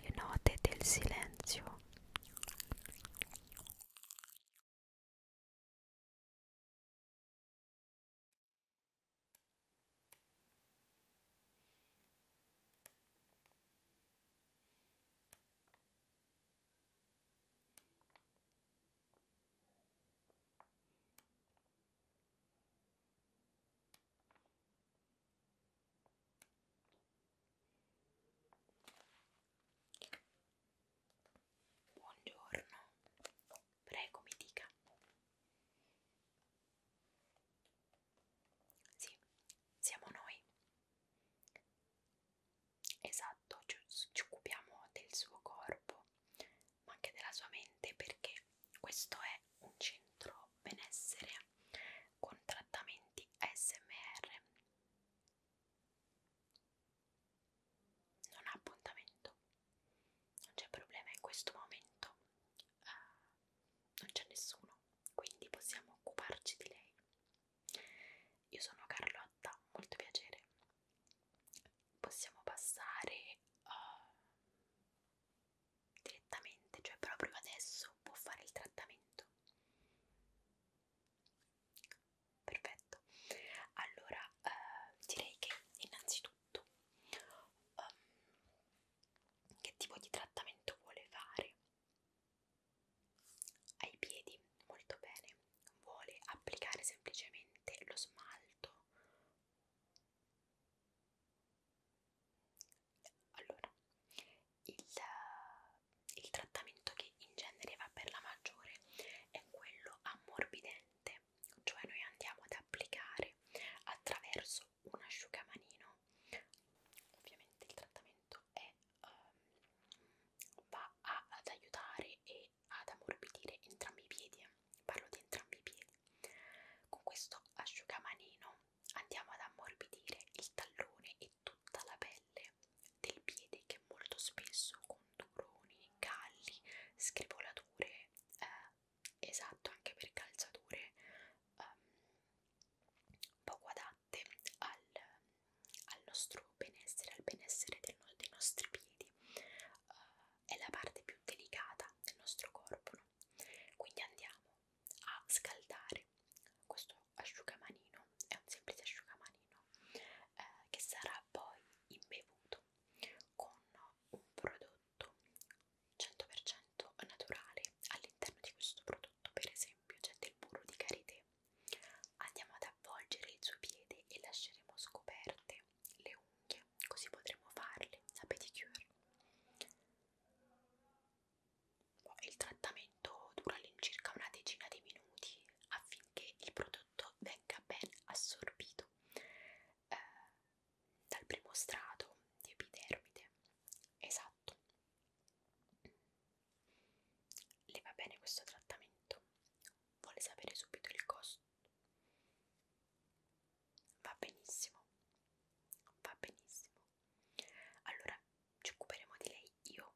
le note del silenzio Buongiorno, prego mi dica. Sì, siamo noi. Esatto, ci, ci occupiamo del suo corpo, ma anche della sua mente perché questo è un centro benessere con trattamenti SMR. Non ha appuntamento, non c'è problema in questo momento, uh, non c'è nessuno, quindi possiamo occuparci di lei. Io sono Carlotta, molto piacere. Possiamo passare uh, direttamente, cioè proprio adesso può fare il trattamento. Perfetto. Allora, eh, direi che innanzitutto um, che tipo di trattamento vuole fare? Ai piedi, molto bene. Vuole applicare semplicemente lo smalto allora, il, il trattamento che in genere va per la maggiore è quello ammorbidente, cioè noi andiamo ad applicare attraverso un asciugamanino. Ovviamente il trattamento è, um, va a, ad aiutare e ad ammorbidire entrambi i piedi parlo di entrambi i piedi. Con questo asciugamanino andiamo ad ammorbidire il tallone e tutta la pelle del piede che molto spesso con duroni, galli, scrivolature, eh, esatto anche per calzature um, poco adatte al, al nostro benessere, al benessere del, dei nostri piedi. Uh, è la parte più delicata del nostro corpo, no? quindi andiamo a scaldare questo asciugamanino, è un semplice asciugamanino eh, che sarà poi imbevuto con un prodotto 100% naturale all'interno di questo prodotto per esempio c'è del burro di karité andiamo ad avvolgere il suo piede e lasceremo scoperte le unghie così potremo farle la pedicure. Boh, il trattamento dura all'incirca una decina di minuti affinché il prodotto venga ben assorbito eh, dal primo strato di epidermide. Esatto. Le va bene questo trattamento? Vuole sapere subito il costo? Va benissimo, va benissimo. Allora ci occuperemo di lei io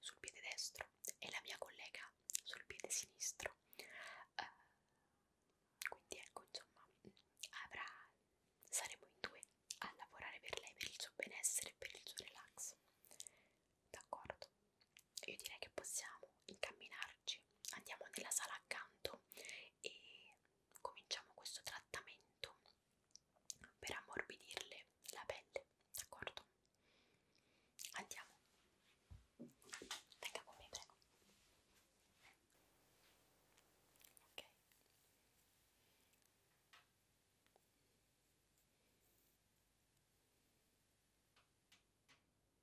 sul piede destro e la mia collega sul piede sinistro. Uh, quindi ecco, insomma, avrà, saremo in due a lavorare per lei, per il suo benessere e per il suo relax. D'accordo? io direi che possiamo incamminarci andiamo nella sala accanto e cominciamo questo trattamento per ammorbidirle la pelle d'accordo andiamo venga con me prego ok ok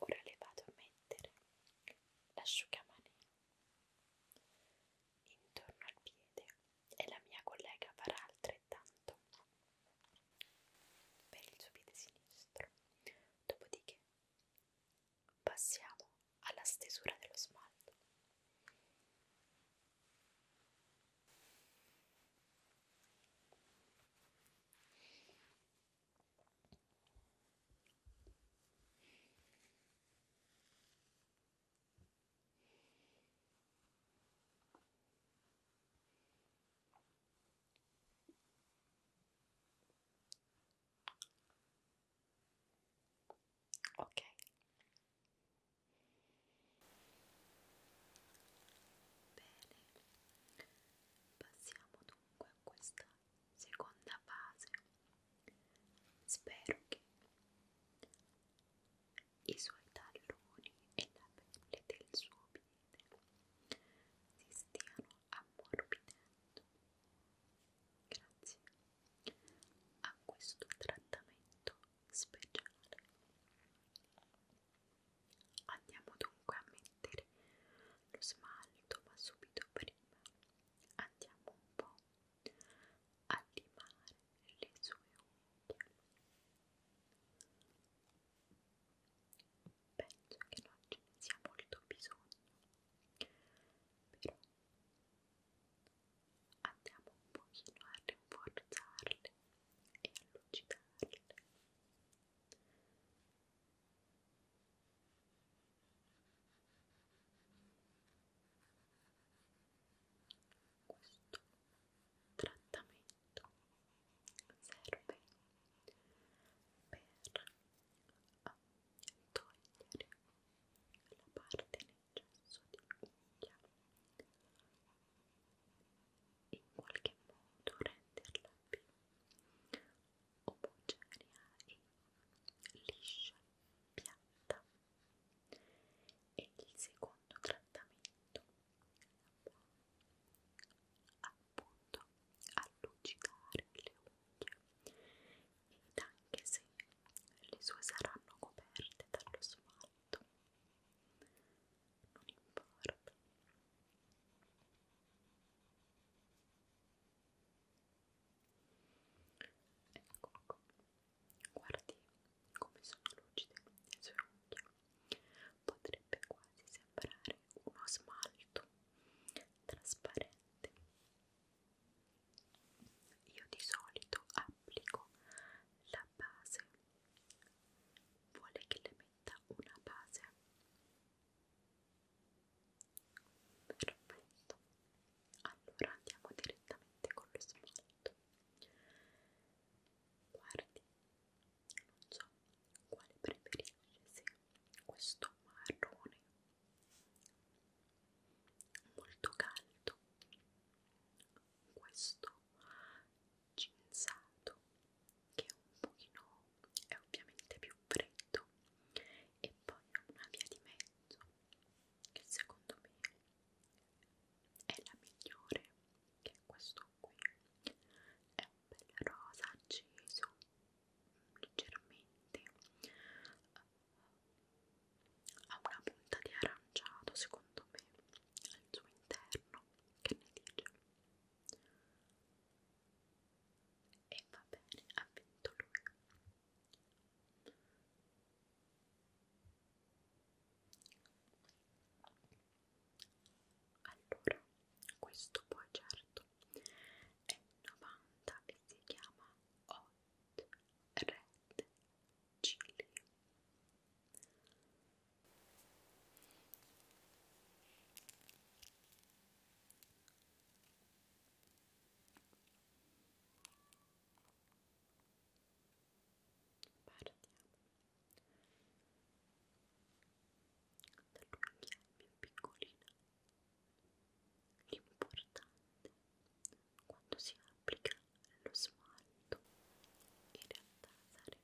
Ora le vado a mettere l'asciugamani intorno al piede e la mia collega farà altrettanto per il suo piede sinistro. Dopodiché passiamo alla stesura dello smalto. Ok. Bene. Passiamo dunque a questa seconda fase. Spero che i suoi talloni e la pelle del suo piede si stiano ammorbidendo grazie a questo trattamento speciale. Andiamo dunque a mettere lo smalto, ma subito prima prima andiamo un po' a limare le sue unghie penso che non ce ne sia molto bisogno però andiamo un pochino a rinforzarle e a lucidarle questo trattamento serve per togliere la parte in eccesso di unghia in qualche modo renderla più omogenea e liscia, piatta. E il secondo trattamento appunto allucidare le unghie ed anche se le sue saranno coperte dallo smalto non importa Ecco qua. Ecco. Guardi come sono lucide le sue unghie. Potrebbe quasi sembrare uno smalto trasparente. Io di solito applico la base. Vuole che le metta una base Perfetto. Allora andiamo direttamente con lo smalto. Guardi, non so quale preferisce, se questo marrone molto caldo, questo cinzato che è un pochino è ovviamente più freddo e poi una via di mezzo che secondo me è la migliore che è questo qui è un bel rosa acceso leggermente ha una punta di aranciato secondo me al suo interno che ne dice e va bene, ha vinto lui. Allora, questo poi certo è 90 e si chiama Hot Red Chili Partiamo dall'unghia più piccolina. L'importante quando si applica lo smalto in realtà sarebbe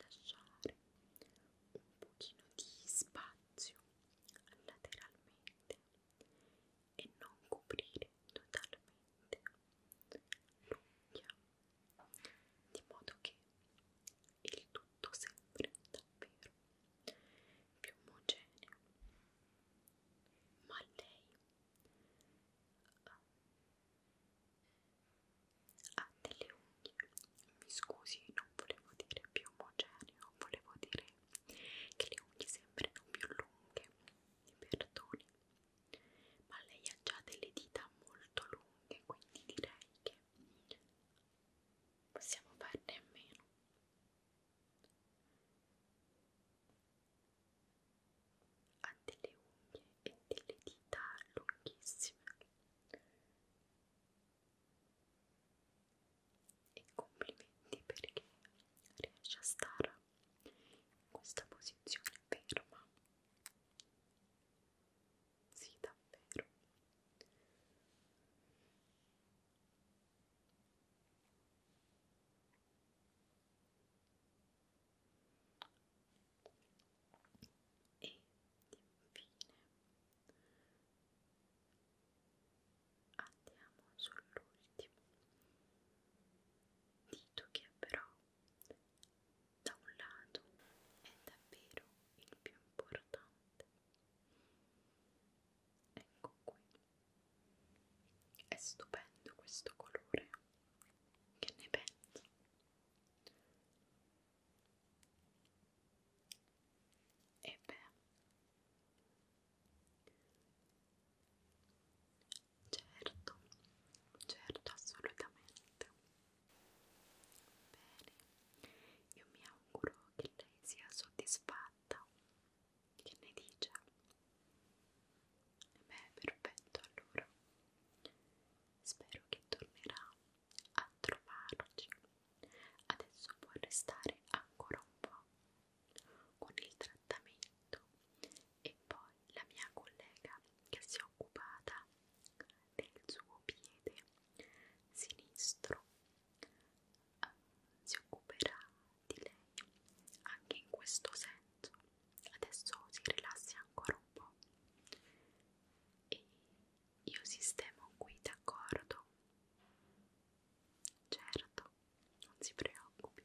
lasciare un pochino di spazio lateralmente e non coprire totalmente l'unghia di modo che il tutto sembri davvero più omogeneo ma lei ha delle unghie mi scusi non volevo dire più omogeneo volevo dire che le unghie sembrano più lunghe mi perdoni ma lei ha già delle dita molto lunghe quindi direi che possiamo farne a meno ha delle unghie e delle dita lunghissime e complimenti perché riesce a stare in questa posizione ferma sì davvero e infine andiamo sull'ultimo dito che però da un lato è davvero il più importante ecco qui è stupendo questo colore che ne pensi e beh certo certo assolutamente bene io mi auguro che lei sia soddisfatta che ne dice? Beh, perfetto allora. Spero che tornerà a trovarci. Adesso può restare ancora un po' con il trattamento e poi la mia collega che si è occupata del suo piede sinistro eh, si occuperà di lei anche in questo senso adesso si rilassi ancora un po' e io sistemo qui d'accordo certo non si preoccupi